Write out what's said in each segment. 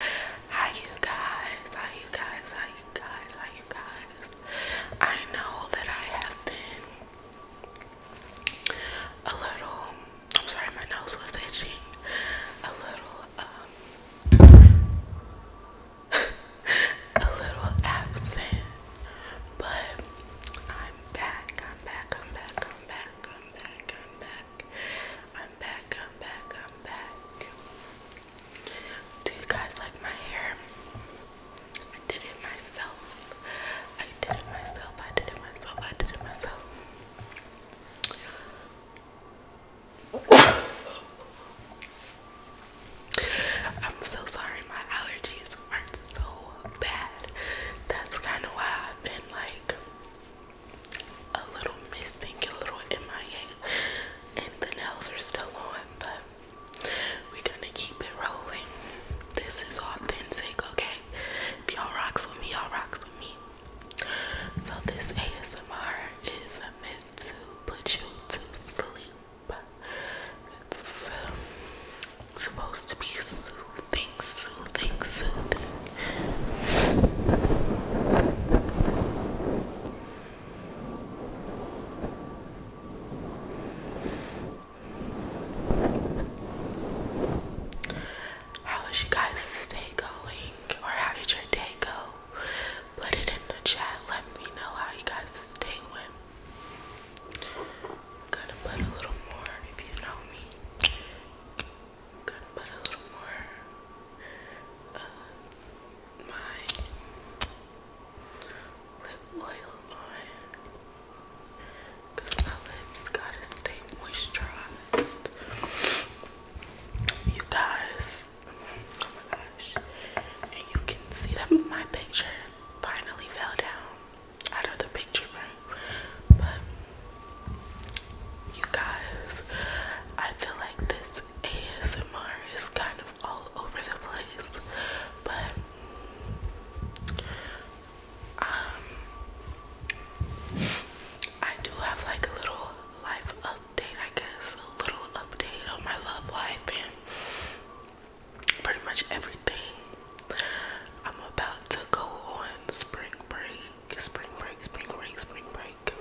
Hi you guys, hi you guys, hi you guys, hi you guys. I know that I have been a little, I'm sorry my nose was itching, a little, um, a little absent, but I'm back, I'm back, I'm back, I'm back, I'm back, I'm back. I'm back, I'm back, I'm back. Do you guys like my hair? I did it myself. I did it myself. I did it myself. I did it myself. I'm so sorry. My allergies are so bad. That's kind of why I've been like a little missing, a little MIA, and the nails are still on, but we're gonna keep it rolling. This is authentic, okay? If y'all rocks with me, y'all rocks with me. So, this ASMR is meant to put you to sleep. It's um, supposed to be soothing, soothing, soothing. How was you guys' day going? Or how did your day go? Put it in the chat. Let me know how you guys' day went. gonna put a little more if you know me. I'm gonna put a little more uh, my lip oil on my lips gotta stay moisturized. You guys, oh my gosh, and you can see that my picture finally fell down out of the picture frame, you guys, I feel like this ASMR is kind of all over the place, but um, I do have like a little life update, I guess, a little update on my love life and pretty much everything. I'm about to go on spring break spring break, spring break, spring break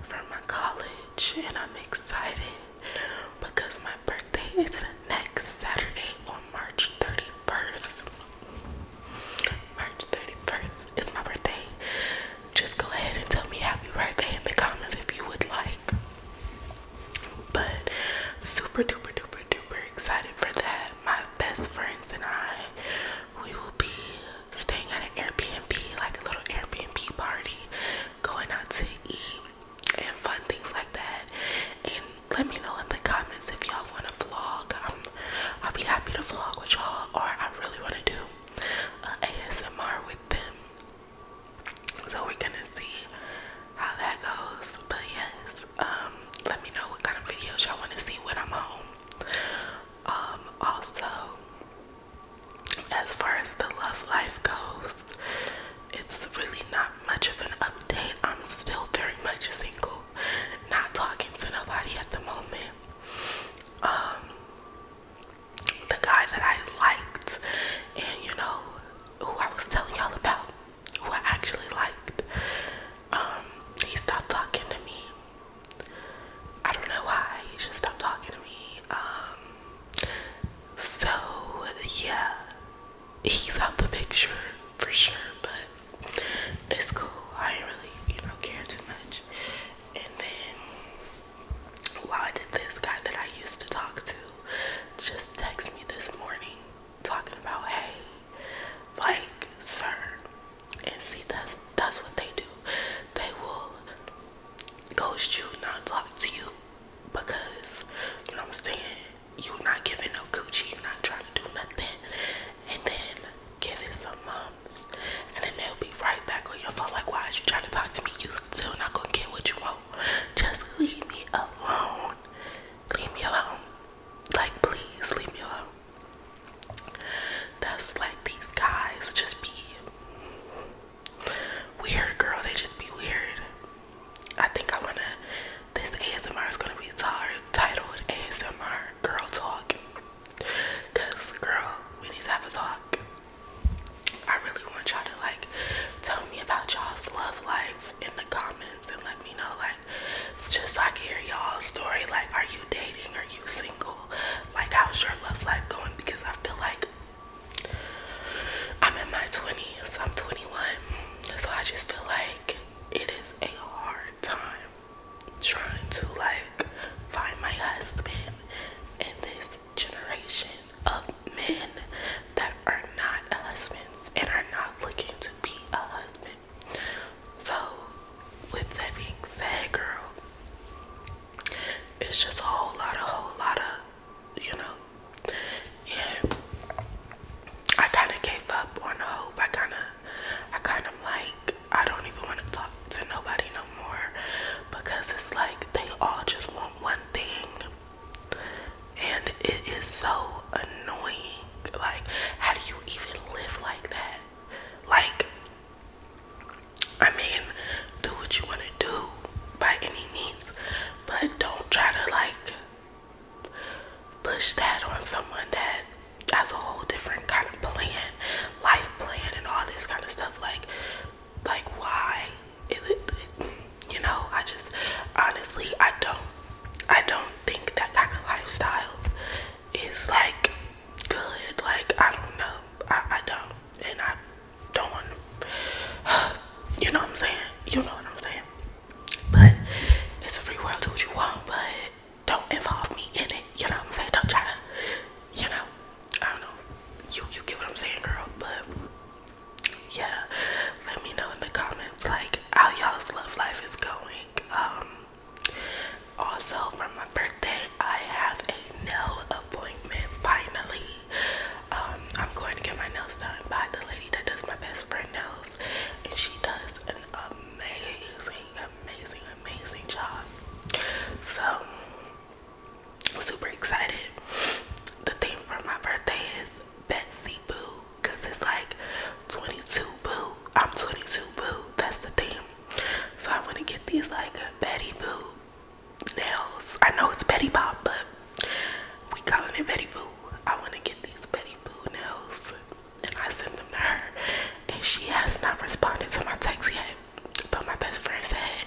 from my college, and I'm excited because my birthday is next Saturday on March 31st. March 31st is my birthday. Just go ahead and tell me happy birthday in the comments if you would like. But super duper duper duper excited for that. My best friends and I we will be staying at an Airbnb, like a little Airbnb party, going out to eat and fun things like that. And let me know in the comments if y'all want to vlog. I'll be happy to vlog with y'all, or I really want to do ASMR with them. So we're gonna see how that goes. But yes, um, let me know what kind of videos y'all want to see when I'm home. Um, also, as far as the love life goes, it's really not much of an update. I'm still very much single, not talking to nobody at the moment. Um, the guy that I liked, and you know, who I was telling y'all about, who I actually liked, um, he stopped talking to me. I don't know why he just stopped talking to me. Um, so yeah, he's out the picture for sure, but it's cool. I really, you know, care too much. And then while did this guy that I used to talk to just text me this morning talking about hey like, sir. And see, that's that's what they do. They will ghost you, not talk to you, because you know what I'm saying. You're not giving no coochie. You're not trying to do nothing. And then give it some months, and then they'll be right back on your phone. Like, why is you trying to talk to me? You still not gonna get what you want. Just leave me alone. Leave me alone. Like, please leave me alone. That's like these guys just be weird, girl. They just be weird. I think I wanna. This ASMR is gonna be titled ASMR Girl Talk. Cause girl, we need to have a talk. I really want y'all to like tell me about y'all's love life in the comments and let me know like it's just like hear y'all's story. Like, are you dating? Are you single? Like, how's your love life going? Because I feel like I'm in my 20s. I'm 21. So I just feel like it is a hard time trying to, like, find my husband in this generation of men that are not husbands and are not looking to be a husband. So, with that being said, girl, it's just a whole lot, a whole lot of, you know, and I kind of gave up on hope. I kind of, I kind of like, I don't even want to talk to nobody no more because it's like they all just want one thing, and it is so annoying. Like, how do you even live like that? Like, I mean, do what you want to do by any means, but don't try to like push that on someone that has a whole different kind of plan, life plan, and all this kind of stuff. Like, like why? It, it, you know, I just honestly, I don't, I don't think that kind of lifestyle it's like good. Like I don't know. I, I don't, and I don't want to. You know what I'm saying? You know what I'm saying? But it's a free world. Do what you want, but don't involve me in it. You know what I'm saying? Don't try to. You know. I don't know. You you get what I'm saying, girl? But yeah, let me know in the comments like how y'all's love life is going. Um also, for my birthday, I have a nail appointment finally. Um, I'm going to get my nails done by the lady that does my best friend nails, and she does an amazing, amazing, amazing job. So, super excited. The thing for my birthday is Betsy Boo because it's like 22 Boo I'm 22, boo. That's the thing. So i want to get these like Betty Boo nails. I know it's Betty Pop, but we calling it Betty Boo. I wanna get these Betty Boo nails, and I sent them to her, and she has not responded to my text yet. But my best friend said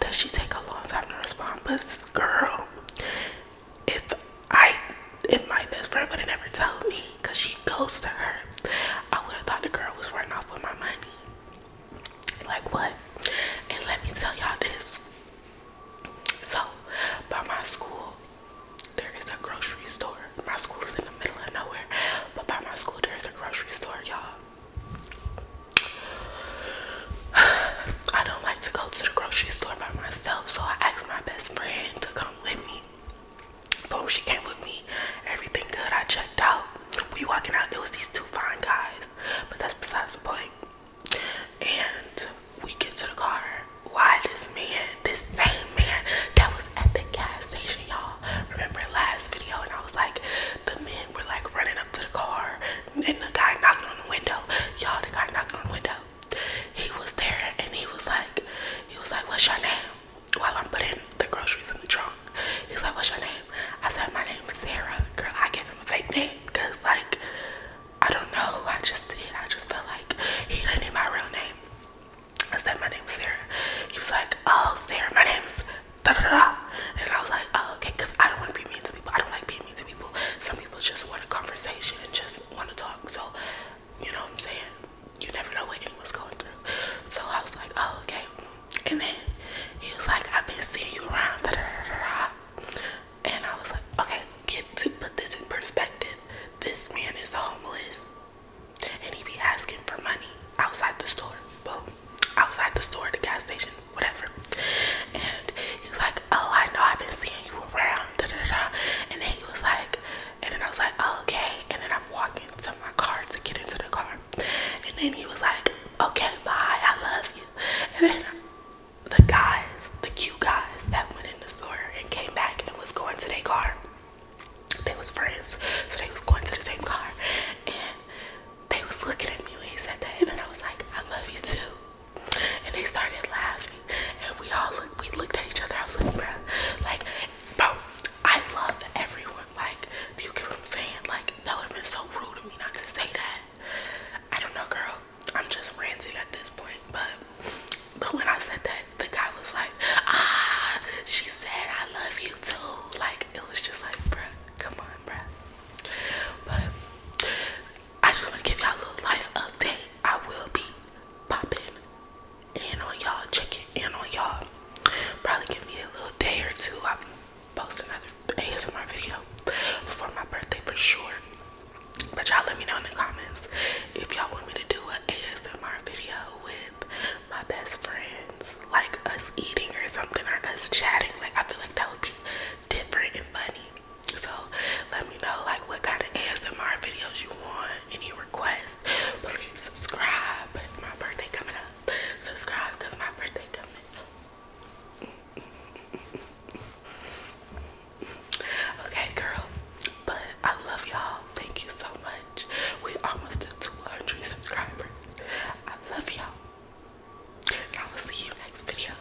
that she take a long time to respond. But girl, if I, if my best friend would have never told me because she goes to her. I would have thought the girl was running off with my money. Like what? And let me tell y'all this. So, by my school, there is a grocery store. My school is in the middle of nowhere, but by my school, there is a grocery store, y'all. I don't like to go to the grocery store by myself, so I asked my best friend to come with me. Boom, she came with me. Everything good. I checked out. We walking out. It was these two fine guys, but that's besides the point. And we get to the car. Why this man, this same man that was at the gas station, y'all? Remember last video? And I was like, the men were like running up to the car, and the guy knocked on the window. Y'all, the guy knocked on the window he was there and he was like, he was like, what's your name? While I'm putting the groceries in the trunk, he's like, what's your name? I said, my name's Sarah. Girl, I gave him a fake name because like, I don't know. I just did. I just felt like he didn't need my real name. I said, my name's Sarah. He was like, oh, Sarah, my name's And I was like, oh, okay, because I don't want to be mean to people. I don't like being mean to people. Some people just want a conversation and just want to talk. So you know what I'm saying? You never know what anyone's going through. So I was like, oh, okay. And then he was like, I've been seeing you around, da da da da. And I was like, okay, get to put this in perspective. This man is homeless, and he be asking for money outside the store. Boom, outside the store, the gas station, whatever. And he was like, oh, I know I've been seeing you around, And then he was like, and then I was like, oh, okay. And then I'm walking to my car to get into the car. And then he was like, okay, bye, I love you. And then the guys, the cute guys that went in the store and came back and was going to their car. They was friends, so they was going to the same car. And they was looking at me when he said that. And I was like, I love you too. And they started laughing and we all looked we looked at each other. I was like, bro, like, bro, I love everyone. Like, do you get what I'm saying? Like, that would have been so rude of me not to say that. I don't know, girl. I'm just ranting at this point, but but when I said that, the guy was like, ah, she said I love you too. Like, it was just like, bro, come on, bro. But I just want to give y'all a little life update. I will be popping in on y'all, check it in on y'all. Probably give me a little day or two. I'll post another ASMR video before my birthday for sure. But y'all let me know in the comments if y'all want me to do an ASMR video with my best friends, like us eating or something, or us chatting. Like, I feel like that would be different and funny. So, let me know, like, what kind of ASMR videos you want any requests, please subscribe. My birthday coming up. Subscribe because my birthday coming up. okay, girl. But I love y'all. Thank you so much. We almost at 200 subscribers. I love y'all. And I will see you next video.